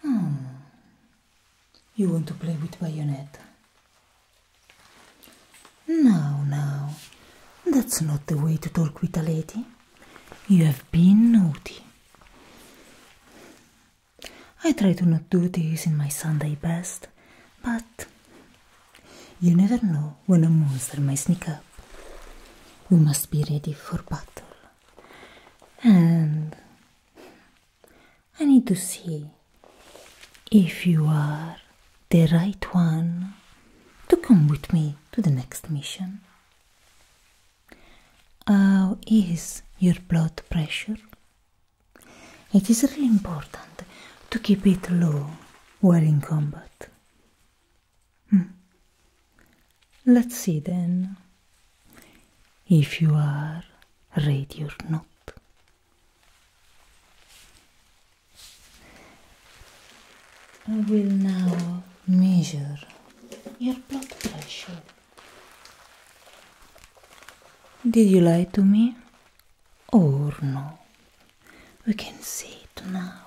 Hmm. You want to play with Bayonetta? Now, now, that's not the way to talk with a lady. You have been naughty. I try to not do this in my Sunday best, but you never know when a monster might sneak up. We must be ready for battle and I need to see if you are the right one to come with me to the next mission. How is your blood pressure? It is really important to keep it low while in combat. Hmm. Let's see then if you are ready or not. I will now measure your blood pressure. Did you lie to me? Or no? We can see it now.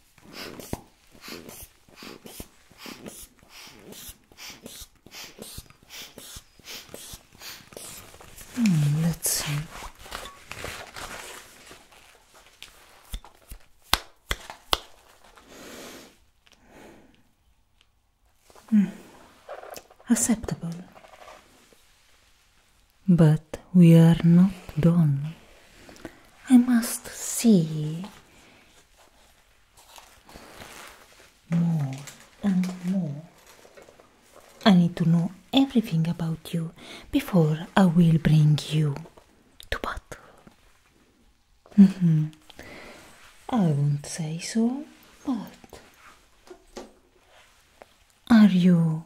Hmm, hmm. Acceptable, but we are not done. I must see more and more i need to know everything about you before i will bring you to but mm-hmm. i don't say so but are you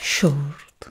short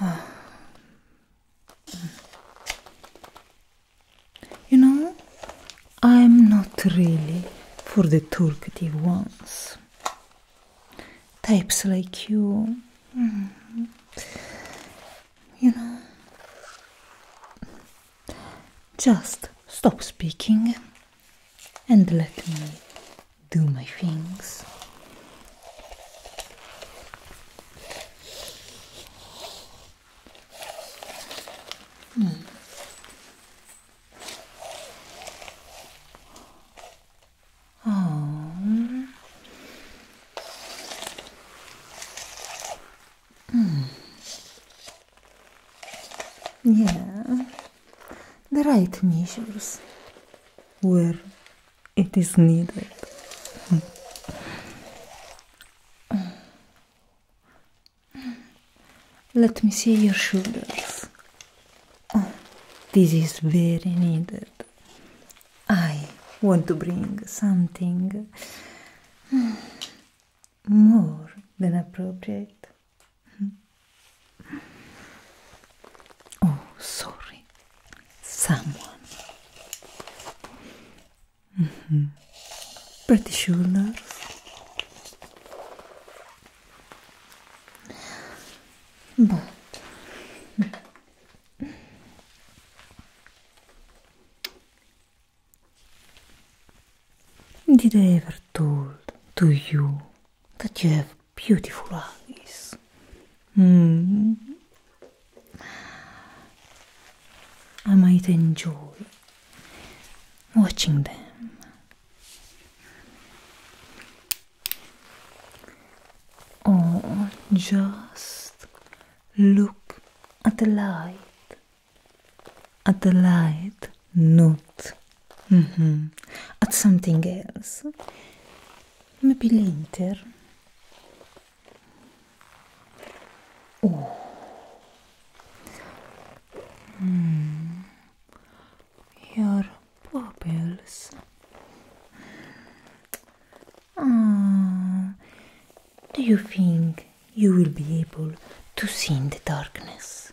You know, I'm not really for the talkative ones. Types like you. Mm-hmm. You know. Just stop speaking. and let me do my things. Oh. Hmm. Yeah. the right measures where it is needed. Let me see your shoulders. Oh, this is very needed. I want to bring something more than appropriate. Oh, sorry, someone. Mm -hmm. Pretty shoulders. But did I ever told to you that you have beautiful eyes. Mm. I might enjoy watching them. Or oh, just look at the light, at the light not mm -hmm. at something else. Maybe later. Oh. Mm. Your pupils. Ah, do you think you will be able to see in the darkness?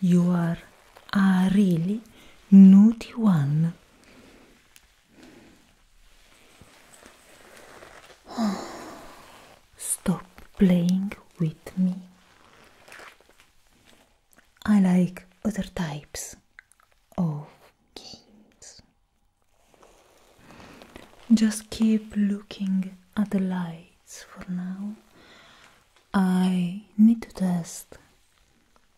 You are a really naughty one. Stop playing with me. I like other types of games. Just keep looking at the lights for now. I need to test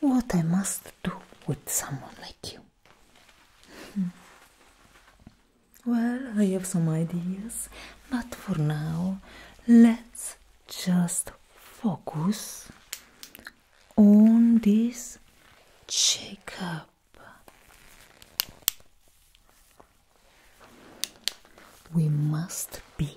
What I must do with someone like you. Hmm. Well, I have some ideas, but for now, let's just focus on this checkup. We must be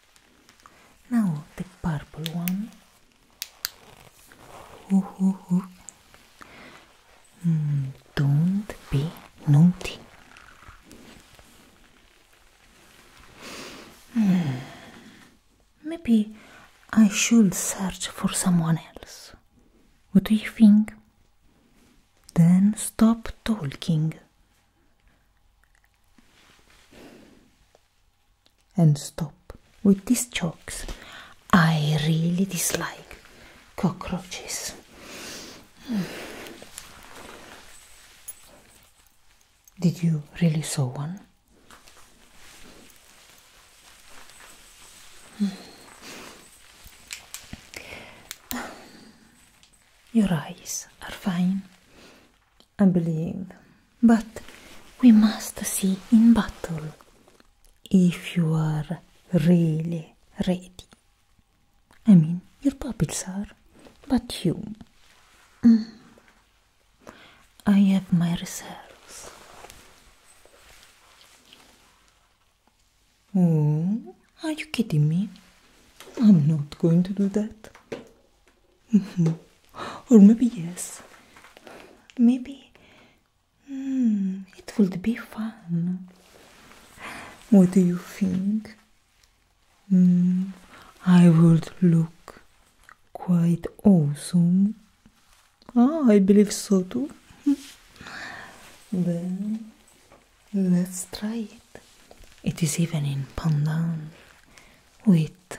Now the purple one. Hmm, don't be naughty. Hmm, maybe I should search for someone else. What do you think? Then stop talking and stop with these jokes. I really dislike cockroaches. Hmm. Did you really saw one? Hmm. Your eyes are fine. I believe. But we must see in battle if you are really ready. I mean, your puppets are, but you. Mm. I have my reserves. Oh, are you kidding me? I'm not going to do that. Mm-hmm. Or maybe yes. Maybe hmm, it would be fun. What do you think? Hmm, I would look quite awesome. Ah, I believe so too. then let's try it. It is even in pandan with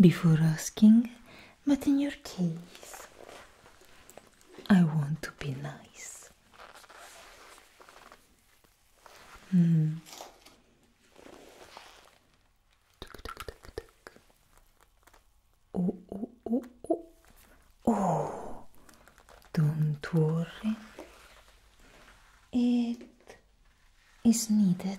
before asking, but in your case, I want to be nice. Mm. Oh, oh, oh, oh. Oh, don't worry. It is needed.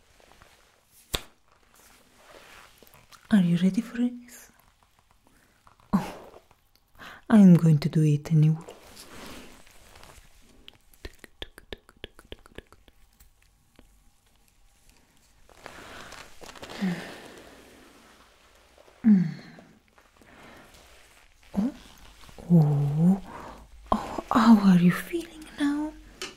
Are you ready for this? Oh, I'm going to do it anyway. Mm. Mm. Oh, oh, oh, how are you feeling now?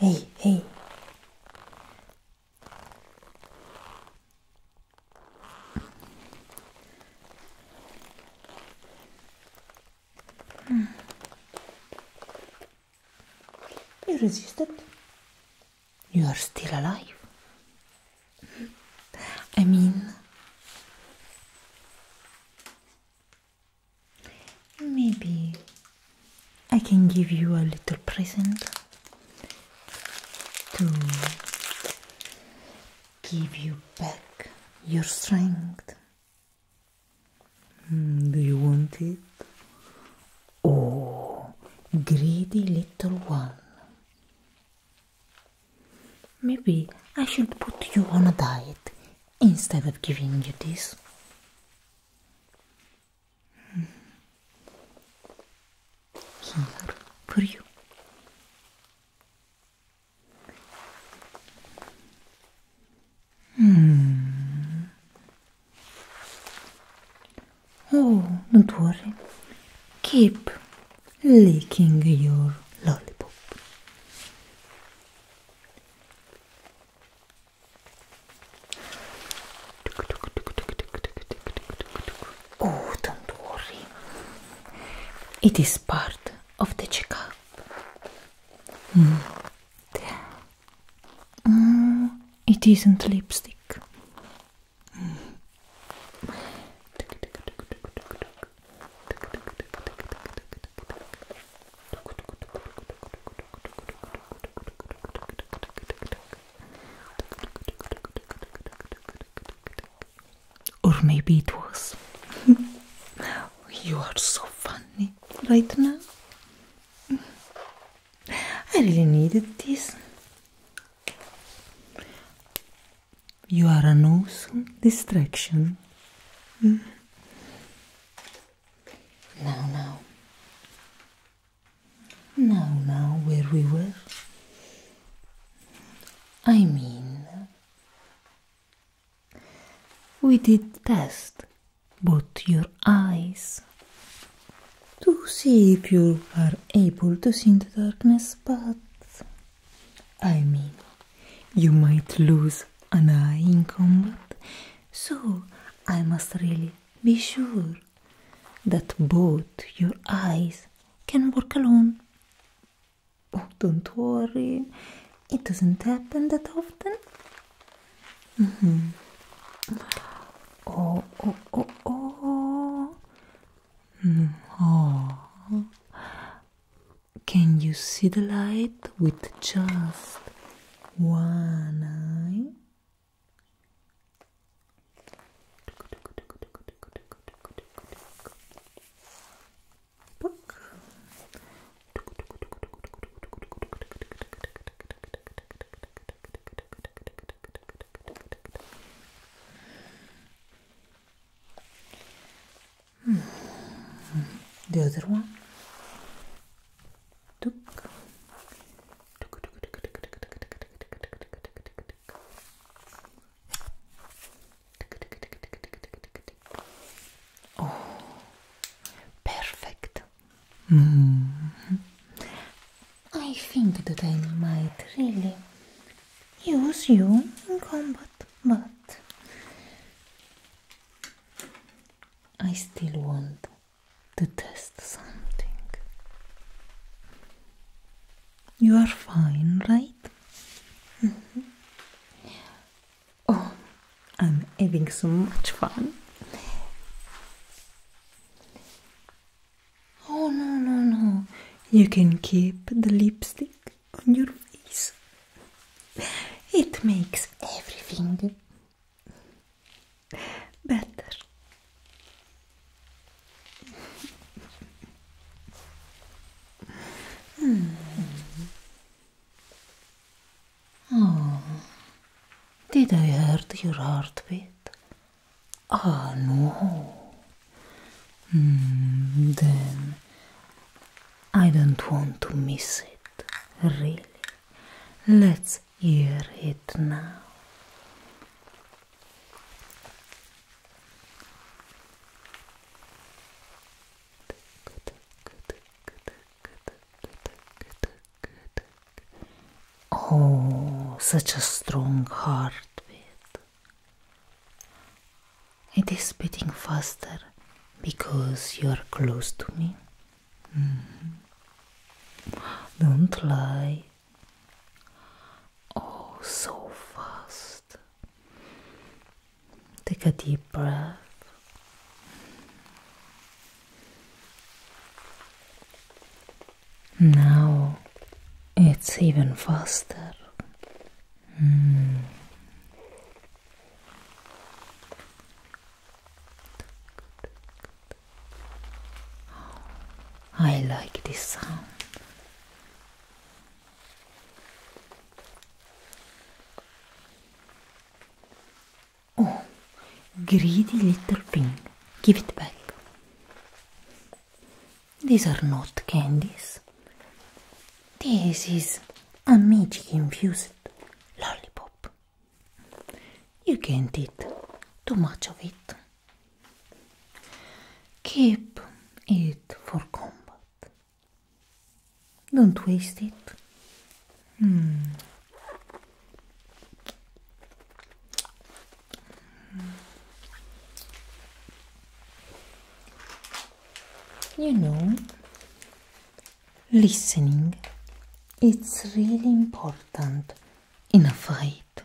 Эй, эй. You resisted. You are still alive. I mean, Maybe I can give you a little present to give you back your strength. Mm, do you want it? Oh, greedy little one. Maybe I should put you on a diet instead of giving you this. Here hmm. for you. Hmm. Oh, don't worry. Keep licking your lollipop. Oh, don't worry. It is part of the checkup. Mm. Mm. it isn't lipstick. Mm. Or maybe it was. you are so funny right now. I really needed this. You are an awesome distraction. Now, now. Now, now, where we were. I mean, we did test both your eyes to see if you are able to see in the darkness, but I mean, You might lose an eye in combat, so I must really be sure that both your eyes can work alone. Oh, don't worry, it doesn't happen that often. Mm -hmm. Oh, oh, oh, oh. Mm -hmm. Can you see the light with just one eye? the other one perfect. I think that I might really use you in combat, but I still want to test something. You are fine, right? Mm-hmm. Oh, I'm having so much fun. Oh, no, no, no. You can keep the lipstick on your face. It makes everything Będziesz. Hmm. Oh. Did I hurt your heartbeat? Ah, oh, no. Mm, then I don't want to miss it, really. Let's hear it now. Oh, such a strong heartbeat. It is beating faster because you are close to me Mm-hmm. Don't lie. Oh, so fast. Take a deep breath. Now it's even faster. Mm. I like this sound. Oh, greedy little thing. Give it back. These are not candies. This is a magic infused lollipop. You can't eat too much of it. Keep it for combat. Don't waste it. Hmm. You know, listening it's really important in a fight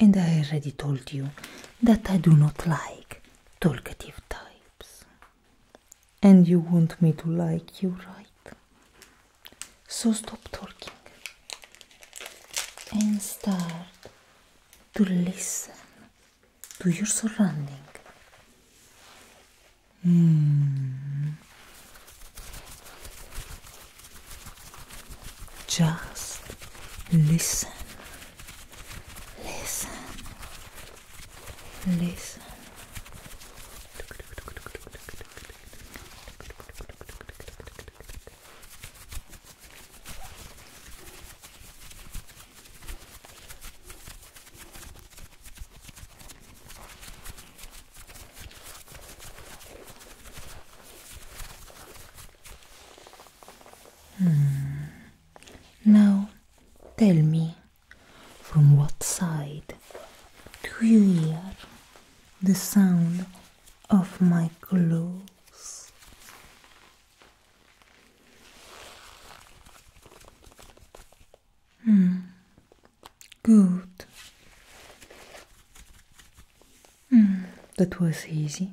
and i already told you that i do not like talkative types and you want me to like you right so stop talking and start to listen to your surrounding Hmm. Just listen, listen, listen. Hmm. Now tell me, from what side do you hear the sound of my clothes? Mm. Good. Mm. That was easy.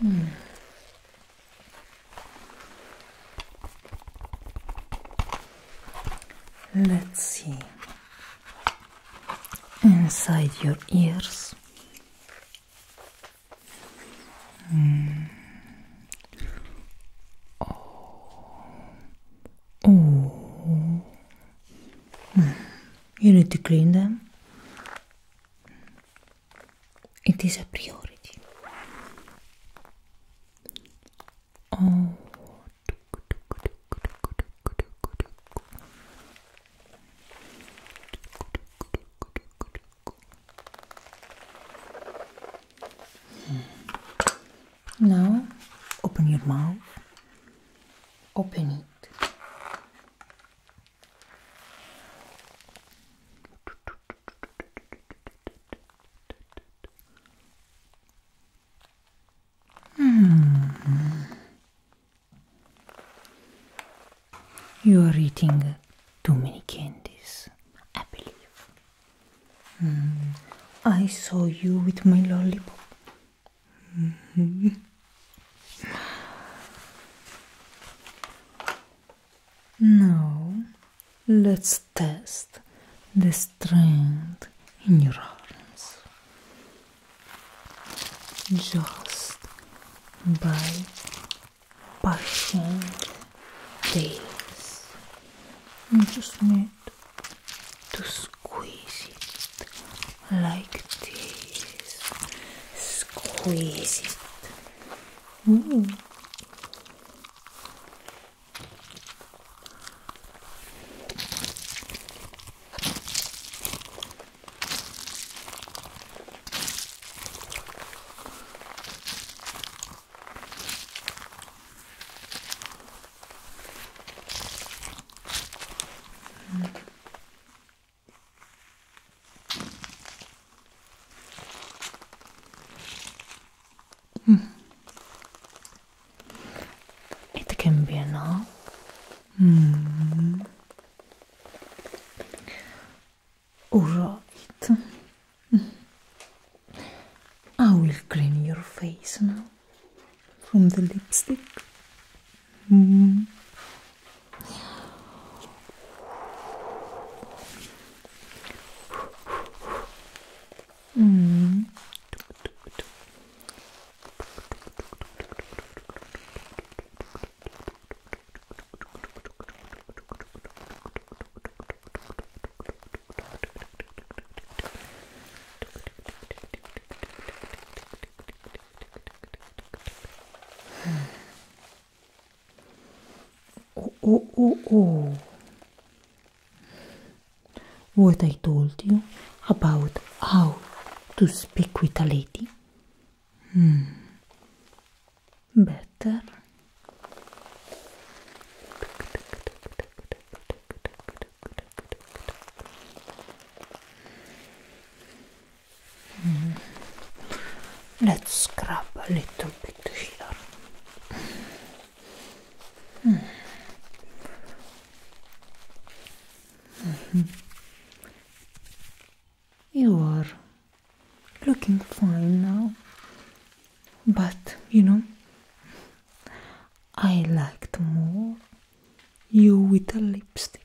Hmm. Let's see inside your ears. Mm. Oh. Oh. Mm. You need to clean them. It is a priority. Oh. Now open your mouth. Open it. -hmm. You are eating too many candies, I believe. Hmm. I saw you with my lollipop. Hmm. Now, let's test the strength in your arms just by pushing this. You just need to squeeze it like this. Squeeze it. Mm. Hmm. It can be an all. Hmm. Alright. I will clean your face now from the lipstick oh, oh, oh, oh. What I told you about how to speak with a lady? Hmm better. Hmm. Let's scrub a little bit here. Hmm. Hmm. You are looking fine now. But, you know, I liked more you with a lipstick.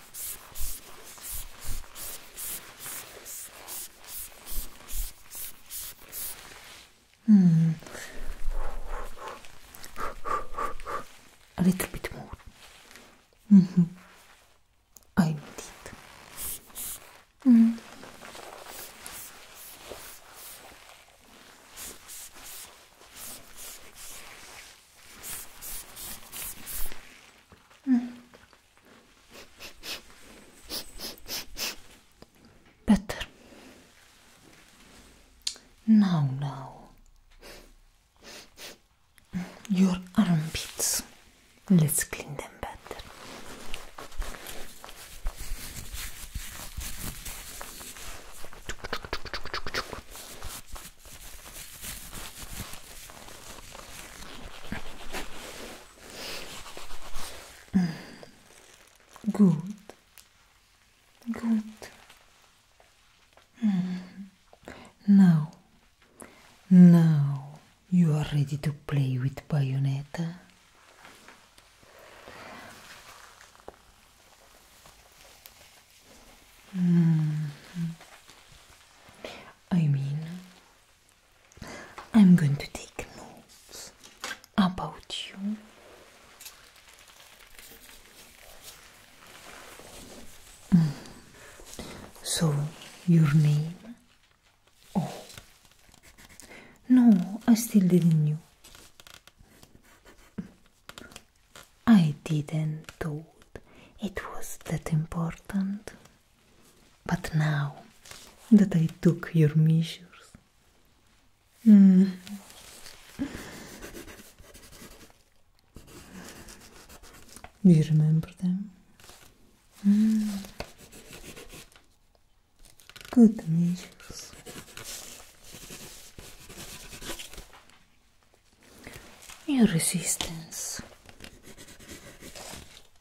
Hmm. A little bit more. Mm -hmm. I need it. Mm. Better. Now, now. Your armpits. Let's clean them better. Gut. Gut. Hmm. Now. Now you are ready to play with Bayonetta. Mm -hmm. I mean, I'm going to take notes about you. Mm. So, your name? Oh, no, I still didn't know. I didn't thought it was that important. But now that I took your measures, hmm. do you remember them? Hmm. Good measures. Your resistance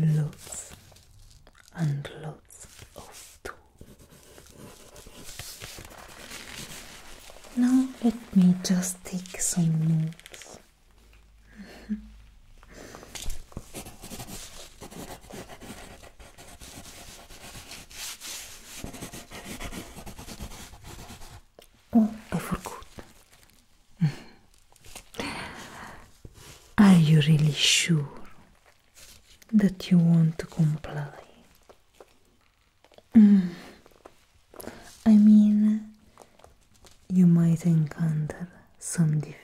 Lots and lots of tools. Now let me just take some notes. Oh, I forgot. Are you really sure that you want to comply? Mm. I mean, you might encounter some difficulties.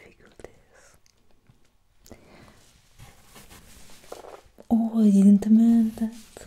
Oh, I didn't mean that.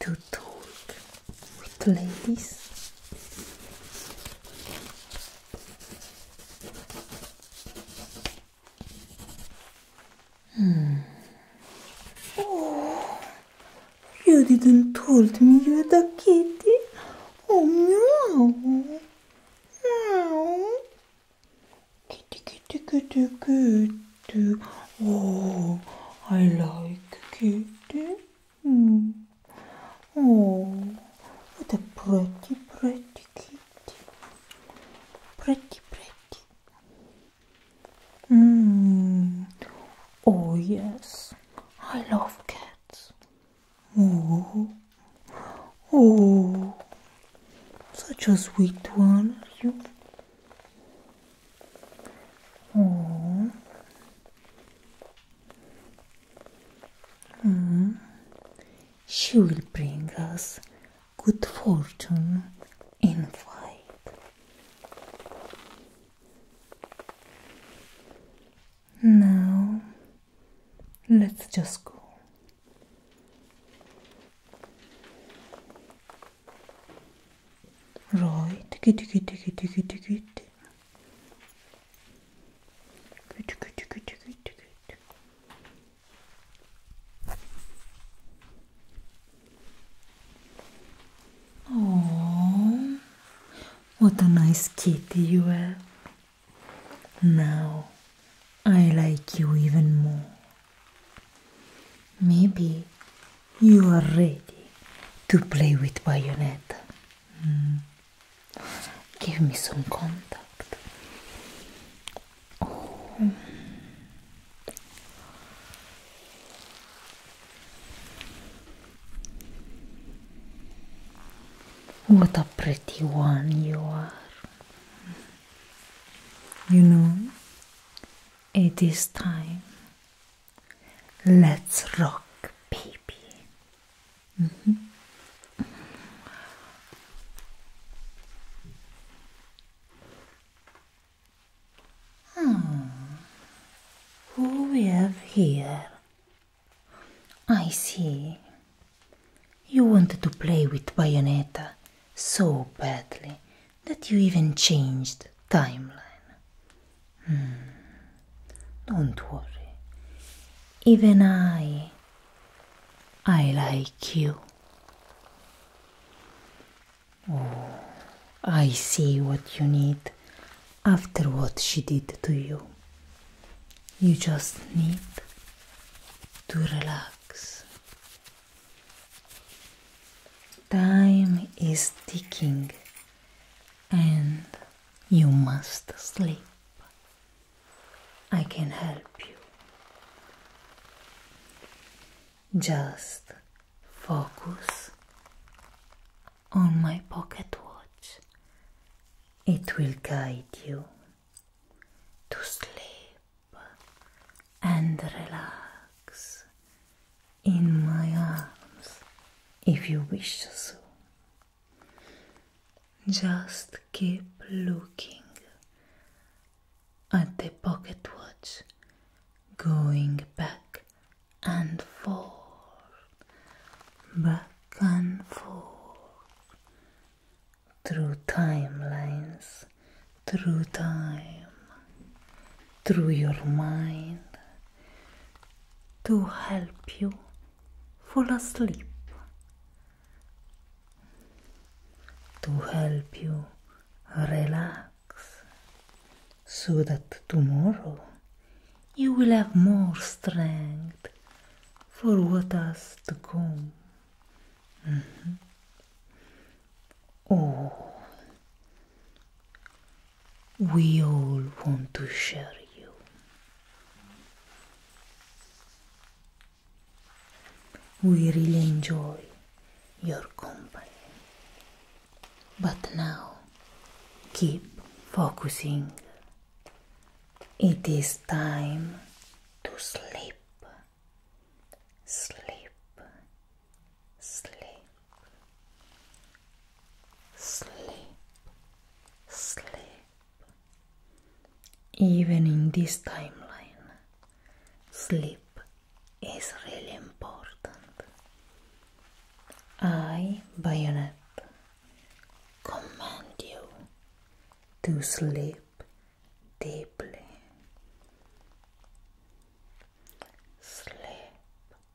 to talk with ladies. Hmm. Oh, you didn't told me you are the kitty. Oh no. No. Kitty, kitty, kitty, kitty cute. Oh, I like kitty. Mm. Oh, what a pretty, pretty kitty. Pretty, pretty. Mm. Oh, yes. I love cats. Oh, oh. Such a sweet one, you. Oh. Mm. She will bring us good fortune in fight. Now, let's just go. Roy, tiki tiki tiki tiki tiki Good, good, good, good, good. Oh, what a nice kitty you have. Now I like you even more. Maybe you are ready to play with Bayonetta. Mm. Give me some contact. Oh. What a pretty one you are. You know, it is time Let's rock, baby. Mm-hmm. Hmm. Who we have here? I see. You wanted to play with Bayonetta so badly that you even changed timeline. Hmm. Don't worry. Even I. I like you. Oh, I see what you need after what she did to you. You just need to relax. Time is ticking and you must sleep. I can help you. Just focus on my pocket watch. It will guide you to sleep and relax. in my arms if you wish to. So. Just keep looking at the pocket watch, going back and forth, back and forth, through timelines, through time. through your mind to help you fall asleep, to help you relax so that tomorrow you will have more strength for what has to come. Mm-hmm. Oh we all want to share you. We really enjoy your company. But now, keep focusing. It is time to sleep. Sleep. Even in this timeline, sleep is really important. I, Bayonet, command you to sleep deeply. Sleep